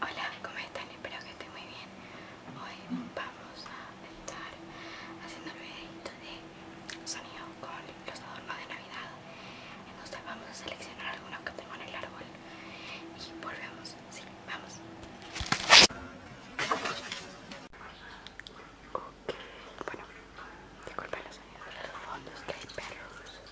Hola, ¿cómo están? Espero que estén muy bien. Hoy vamos a estar haciendo un videito de sonido con los adornos de Navidad. Entonces vamos a seleccionar algunos que tengo en el árbol y volvemos. Sí, vamos. Bueno, disculpen los sonidos de los fondos que hay perros.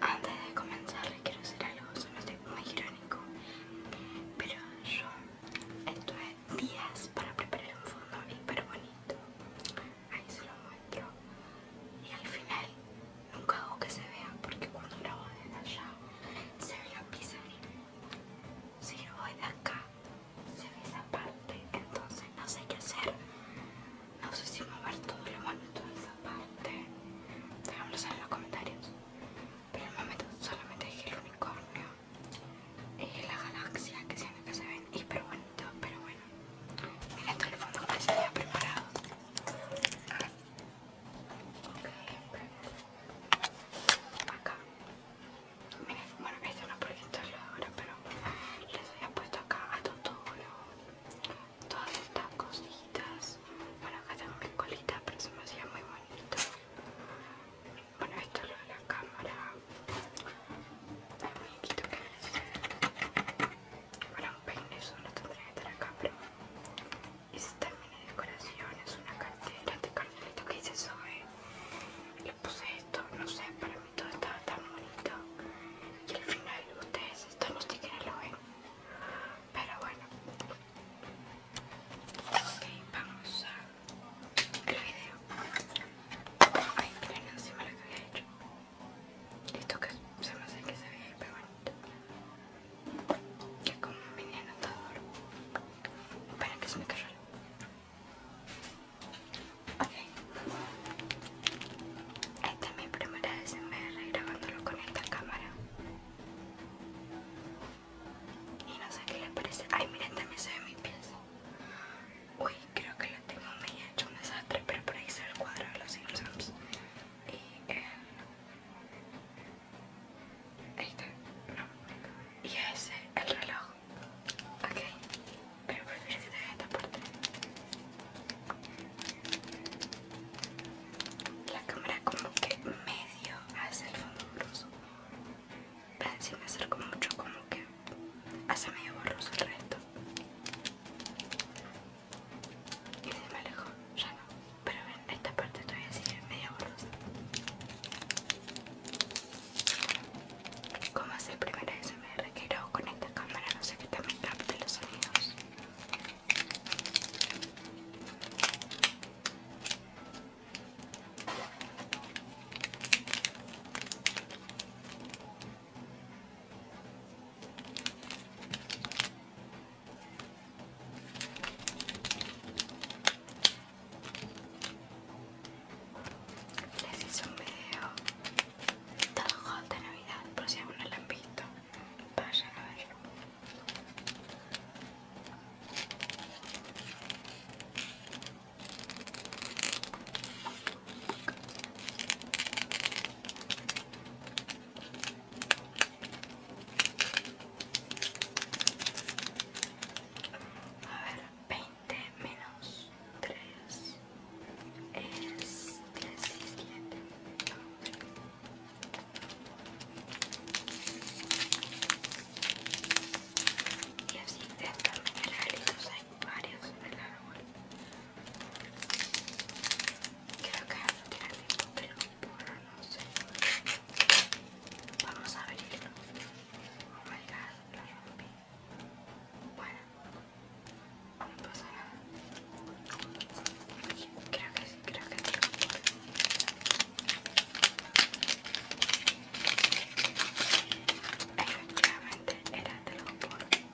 Antes de comenzar les quiero hacer algo, se me muy irónico, pero yo es días para preparar un fondo hiper bonito ahí se lo muestro y al final nunca hago que se vea porque cuando grabo desde allá se ve la pizza si lo voy de acá se ve esa parte entonces no sé qué hacer no sé si mover todo lo bonito de esa parte saber en los comentarios pero el momento solamente dije el unicornio y la galaxia que siempre que se ven hiper bonito pero bueno Mira todo el fondo que se había preparado. Okay. Acá. Mira, bueno, esto no proyectarlo ahora, pero les había puesto acá a todo todas estas cositas. Bueno, acá tengo mi colita, pero se me hacía muy bonito. Bueno, esto es lo de la cámara muñequito que es para un peine eso no tendría que estar acá pero es también de decoración es una cartera de cartelito que hice eso. le puse esto no sé para mí todo estaba tan bonito que al final ustedes esto no sé quiénes lo ven pero bueno ok vamos a el video ay miren encima lo que había hecho esto que se me hace que se ve pero bonito. Que es como un mini anotador. Espera que se me cayó. Ok. Esta es mi primera vez SMR grabándolo con esta cámara. Y no sé qué le parece. Ay, miren, también se ve mi pieza. Uy, creo que la tengo medio hecho un desastre, pero por ahí está el cuadro de los Simpsons. Y el... Ahí está. No. Y ese, el reloj. Ok. Pero prefiero que te vea esta parte. La cámara como que medio hace el fondo grueso Pero si me acerco mucho como que hace medio borroso el resto y se me alejó ya no pero ven esta parte todavía sigue medio borrosa como hace el primer ASMR que grabo con esta cámara no sé que también capte los sonidos les hice un video del haul de Navidad, por si aún no lo han visto, vayan a verlo. A ver, 20 menos 3 es 17. Y así de el mineralitos hay varios en el árbol. Creo que no tiene el no sé. Vamos a abrirlo. Oh my god, lo rompí. Bueno, no pasa nada. Creo que sí, creo que era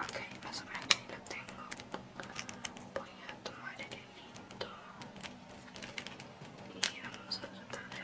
Ok, más o menos lo tengo. Voy a tomar el hilito y vamos a tratar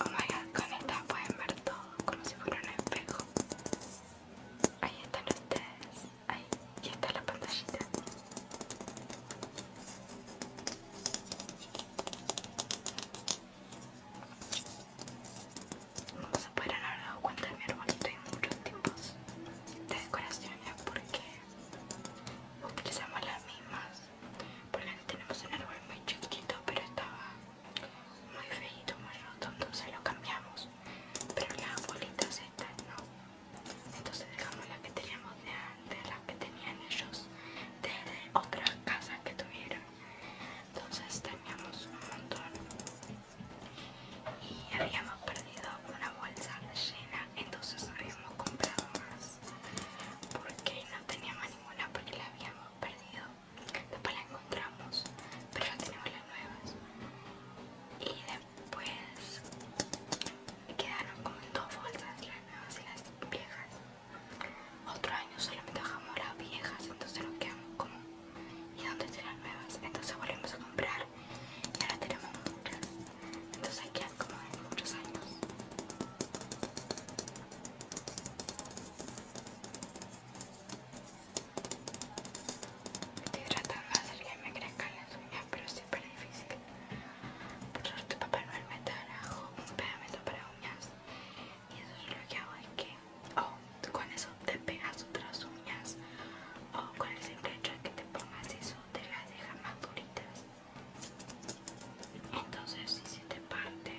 Oh my god, con esta pueden ver todo como si fuera un espejo. Ahí están ustedes. Ahí, está la pantallita. No se pueden haber dado cuenta de mi arbolito hay muchos tipos de decoraciones porque utilizamos las mismas. Porque que tenemos un árbol muy chiquito pero estaba muy feito, muy roto, entonces lo cambiamos. Pero las bolitas estas no. Entonces dejamos las que teníamos de antes, las que tenían ellos de otras casas que tuvieron. Entonces teníamos un montón. Y habíamos perdido una bolsa llena, entonces habíamos comprado más. Porque no teníamos ninguna porque la habíamos perdido después la encontramos, pero ya tenemos las nuevas. Y después quedaron como en dos bolsas las nuevas y las viejas. Otro año solamente dejamos las viejas, entonces nos quedamos como y dónde están las nuevas. Entonces volvemos a comprar y ahora tenemos muchas. Entonces hay quedan como de muchos años. Estoy tratando de hacer que me crezcan las uñas, pero es súper difícil. Por suerte papá no me trajo un pegamento para uñas. Y eso es lo que hago es que o oh, con eso te pegas otras uñas o oh, con el simple hecho de que te pongas eso te las deja más duritas entonces si te parte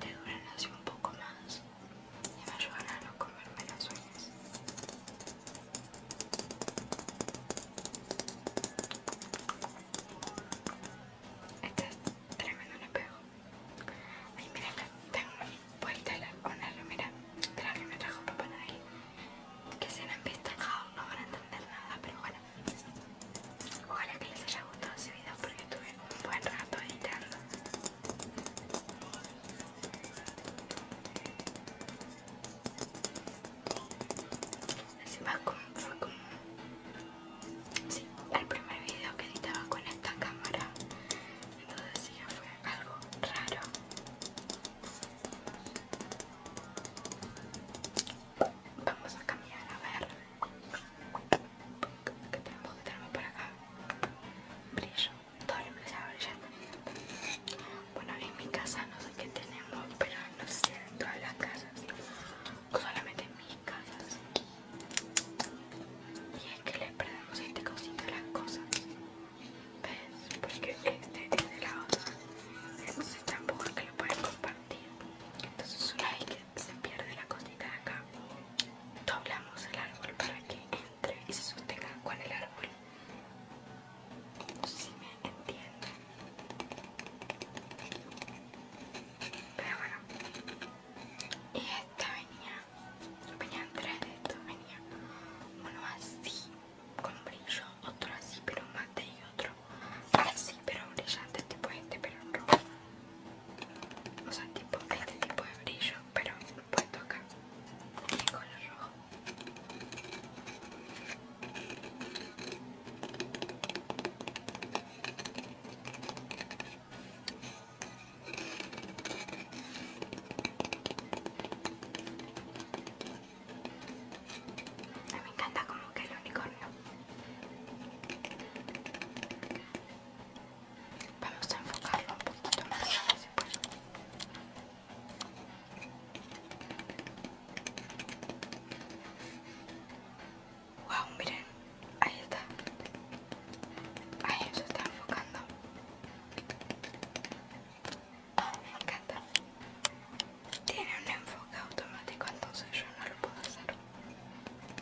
te duran así un poco más y me ayudan a no comerme las uñas este es tremendo le pego ay mira tengo vuelta la mira, de la que me trajo papá nadie. que se han visto no van a entender nada pero bueno Ojalá que les haya gustado ese video porque estuve un buen rato editando. fue como... Sí, el primer video que editaba con esta cámara. Entonces sí, fue algo raro. Vamos a cambiar a ver tenemos? que tenemos para acá. Brillo. Todo el a brillar Bueno, en mi casa no sé qué tenemos, pero no sé en todas las casas. Solamente en mis casas. Y es que le perdemos este cosito a las cosas. ¿Ves? Porque este tiene la otra. Entonces tampoco es que lo pueden compartir. Entonces un hay que se pierde la cosita de acá doblamos el árbol para que entre y se sostenga con el árbol si me entienden pero bueno y esta venía venían tres de estos venía uno así con brillo otro así pero mate y otro sí, pero brillante, tipo este, pero rojo. O sea, tipo este tipo de brillo, pero puesto acá, en color rojo. A mí me encanta como que el unicornio Vamos a enfocarlo un poquito más. Si puedo. Wow, miren, ahí está. Ahí se está enfocando. Me encanta. Tiene un enfoque automático, entonces yo no lo puedo hacer.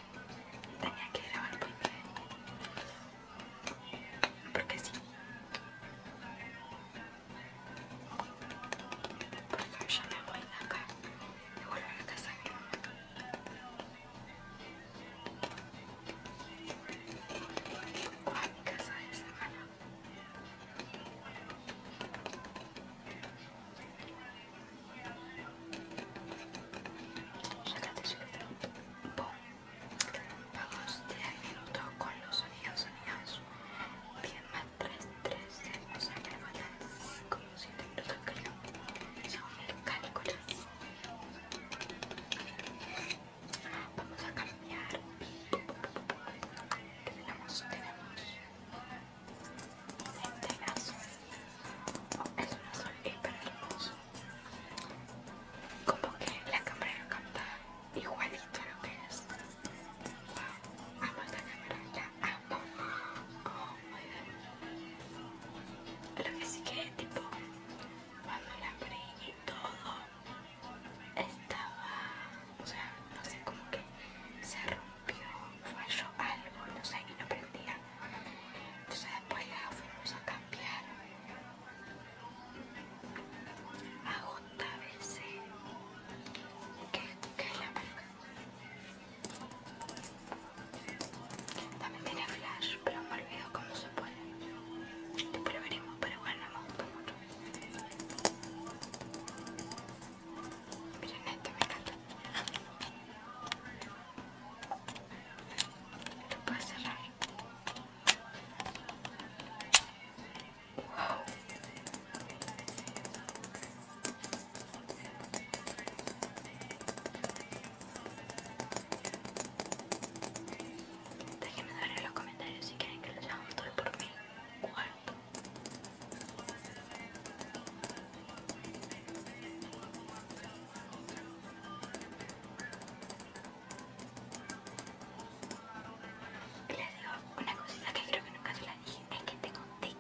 tenía que grabar porque porque sí porque yo me voy de acá y vuelvo a la casa o a mi casa de semana Regate suelta. Pum. Vamos 3 minutos con los sonidos, sonidos. Bien, más 3, 3, 6. O sea que le faltan como 7 minutos, creo. Según el cálculo. Vamos a cambiar. Tenemos, tenemos. Este azul es un azul hiper hermoso. Como que la cámara lo igualito lo que es. Wow, amo esta cámara, la amo. Oh my Lo que sí que tipo, cuando la abrí y todo, estaba, o sea, no sé, como que se rompió pero falló algo, no sé, y no prendía. Entonces después la fuimos a cambiar a JBC, que, que es la marca. También tiene flash, pero me olvido cómo se pone. Pero veremos, pero bueno, me gusta mucho. Miren esto, me encanta. Lo puedo cerrar. Wow. Déjenme dar en los comentarios si quieren que lo un todo por mí wow y Les digo una cosita que creo que nunca se la dije, es que tengo un tic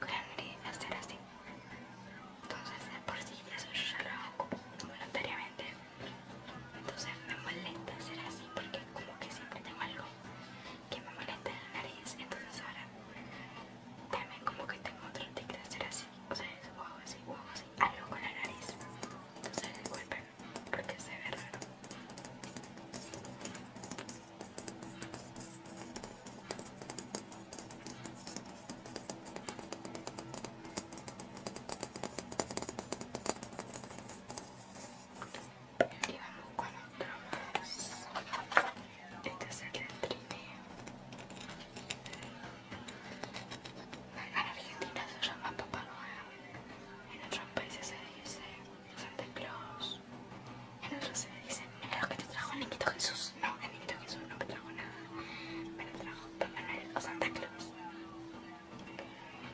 con la de hacer así. Entonces por por sí eso yo ya lo hago voluntariamente. Entonces me molesta hacer así porque como que siempre tengo algo que me molesta la nariz, entonces ahora también como que tengo otro ticket de hacer así, o sea, es así, un así, algo con la nariz, entonces golpe, porque se ve raro. Y vamos con otro este es el del trineo. En Argentina se llama Papá Noel. En otros países se dice Santa Claus. En otros se dice, es lo que te trajo el niñito Jesús. No, el niñito Jesús no me trajo nada. Me lo trajo Papá Noel o Santa Claus.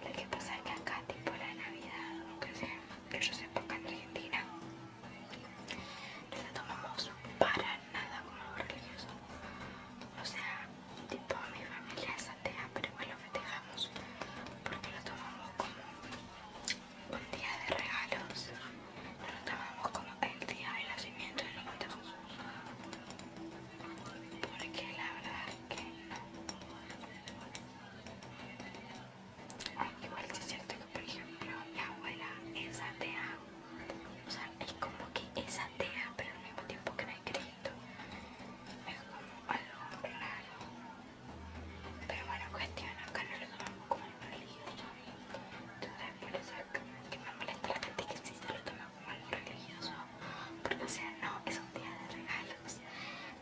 Lo que pasa es que acá, tipo la Navidad, que, sea, que yo sepa acá en Argentina, no lo tomamos para nada como algo religioso. O sea, toda mi familia es atea, pero igual lo festejamos porque lo tomamos como un día de regalos. No lo tomamos como el día del nacimiento y lo matamos. Porque la verdad es que no. Igual si es cierto que, por ejemplo, la abuela es atea. O sea, es como que es atea, pero al mismo tiempo que no hay Cristo. Es como algo raro. Pero bueno, cuestión, acá no lo tomamos como algo religioso. Entonces, por eso es que me molesta la gente que si se lo toma como algo religioso. Porque, o sea, no, es un día de regalos.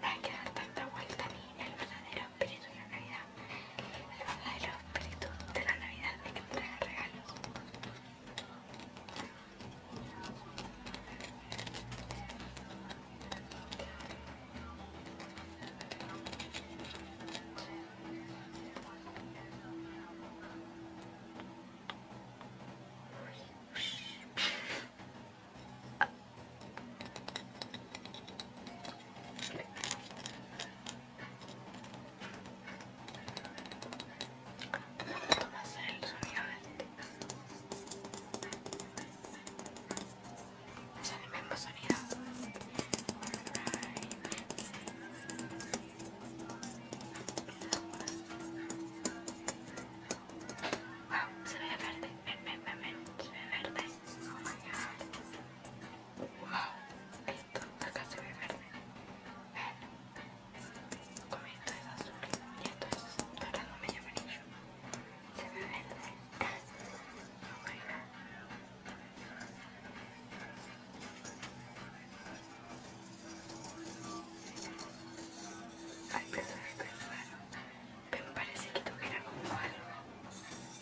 No hay que dar tanta vuelta ni el verdadero espíritu de la Navidad, el los espíritu de la Navidad de que entrega regalos. Vamos a hacer el sonido de... el mismo se ve verde, ven, ven, ven, ven, se ve verde. Oh Wow, esto, acá se ve verde. esto es azul y esto es dorado medio amarillo. Se ve verde. Bueno. Ay, perdón, perdón. me parece que tuviera como algo.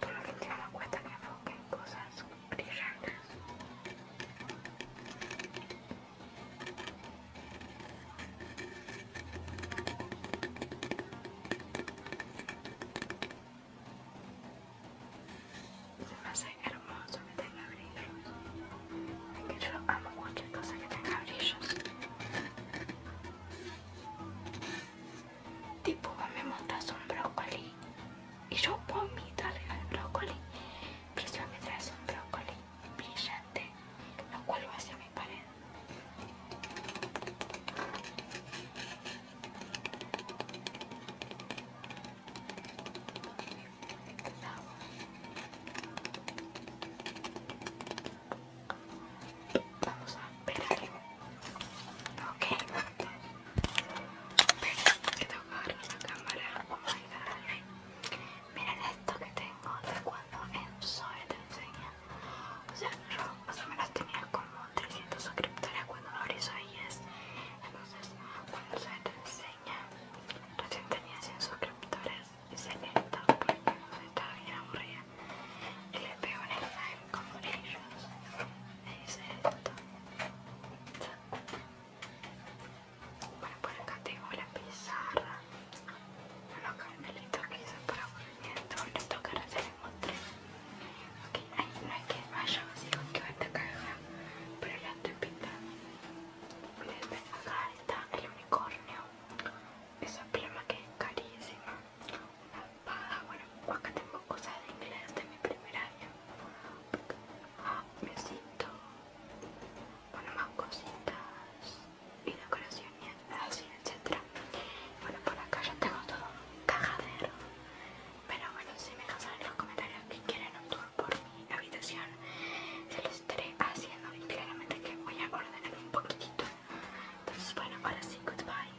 Pero que te no cuenta que enfoque en cosas brillantes. Se me hace hermoso que tenga brillos. Es que yo amo muchas cosas que tenga brillos tipo me montas un brócoli y yo puedo mitarle al brócoli pero me traes un brócoli brillante lo va hacia mi pared Vamos a esperar. Ok. Pero que tengo que agarrar la cámara. Oh Miren esto que tengo de cuando en Zoe te enseña. O sea, yo más o menos tenía como 300 suscriptores cuando lo abrí Zoe es. Entonces, cuando Zoe te enseña, recién tenía 100 suscriptores. Hice esto porque no estaba bien aburrida. Y le pego en el como ellos es esto bueno por acá tengo la pizarra que hizo para esto toca se les ahí no hay que vaya que va caja pero la estoy acá está el unicornio esa pluma que es carísima bueno, acá tengo cosas de inglés de mi primer año besito ah, bueno, más cositas y decoraciones así, etcétera bueno, por acá ya tengo todo un cajadero pero bueno, si me dejan en los comentarios que quieren un tour por mi habitación se los estaré haciendo y claramente que voy a ordenar un poquitito entonces bueno, ahora sí, goodbye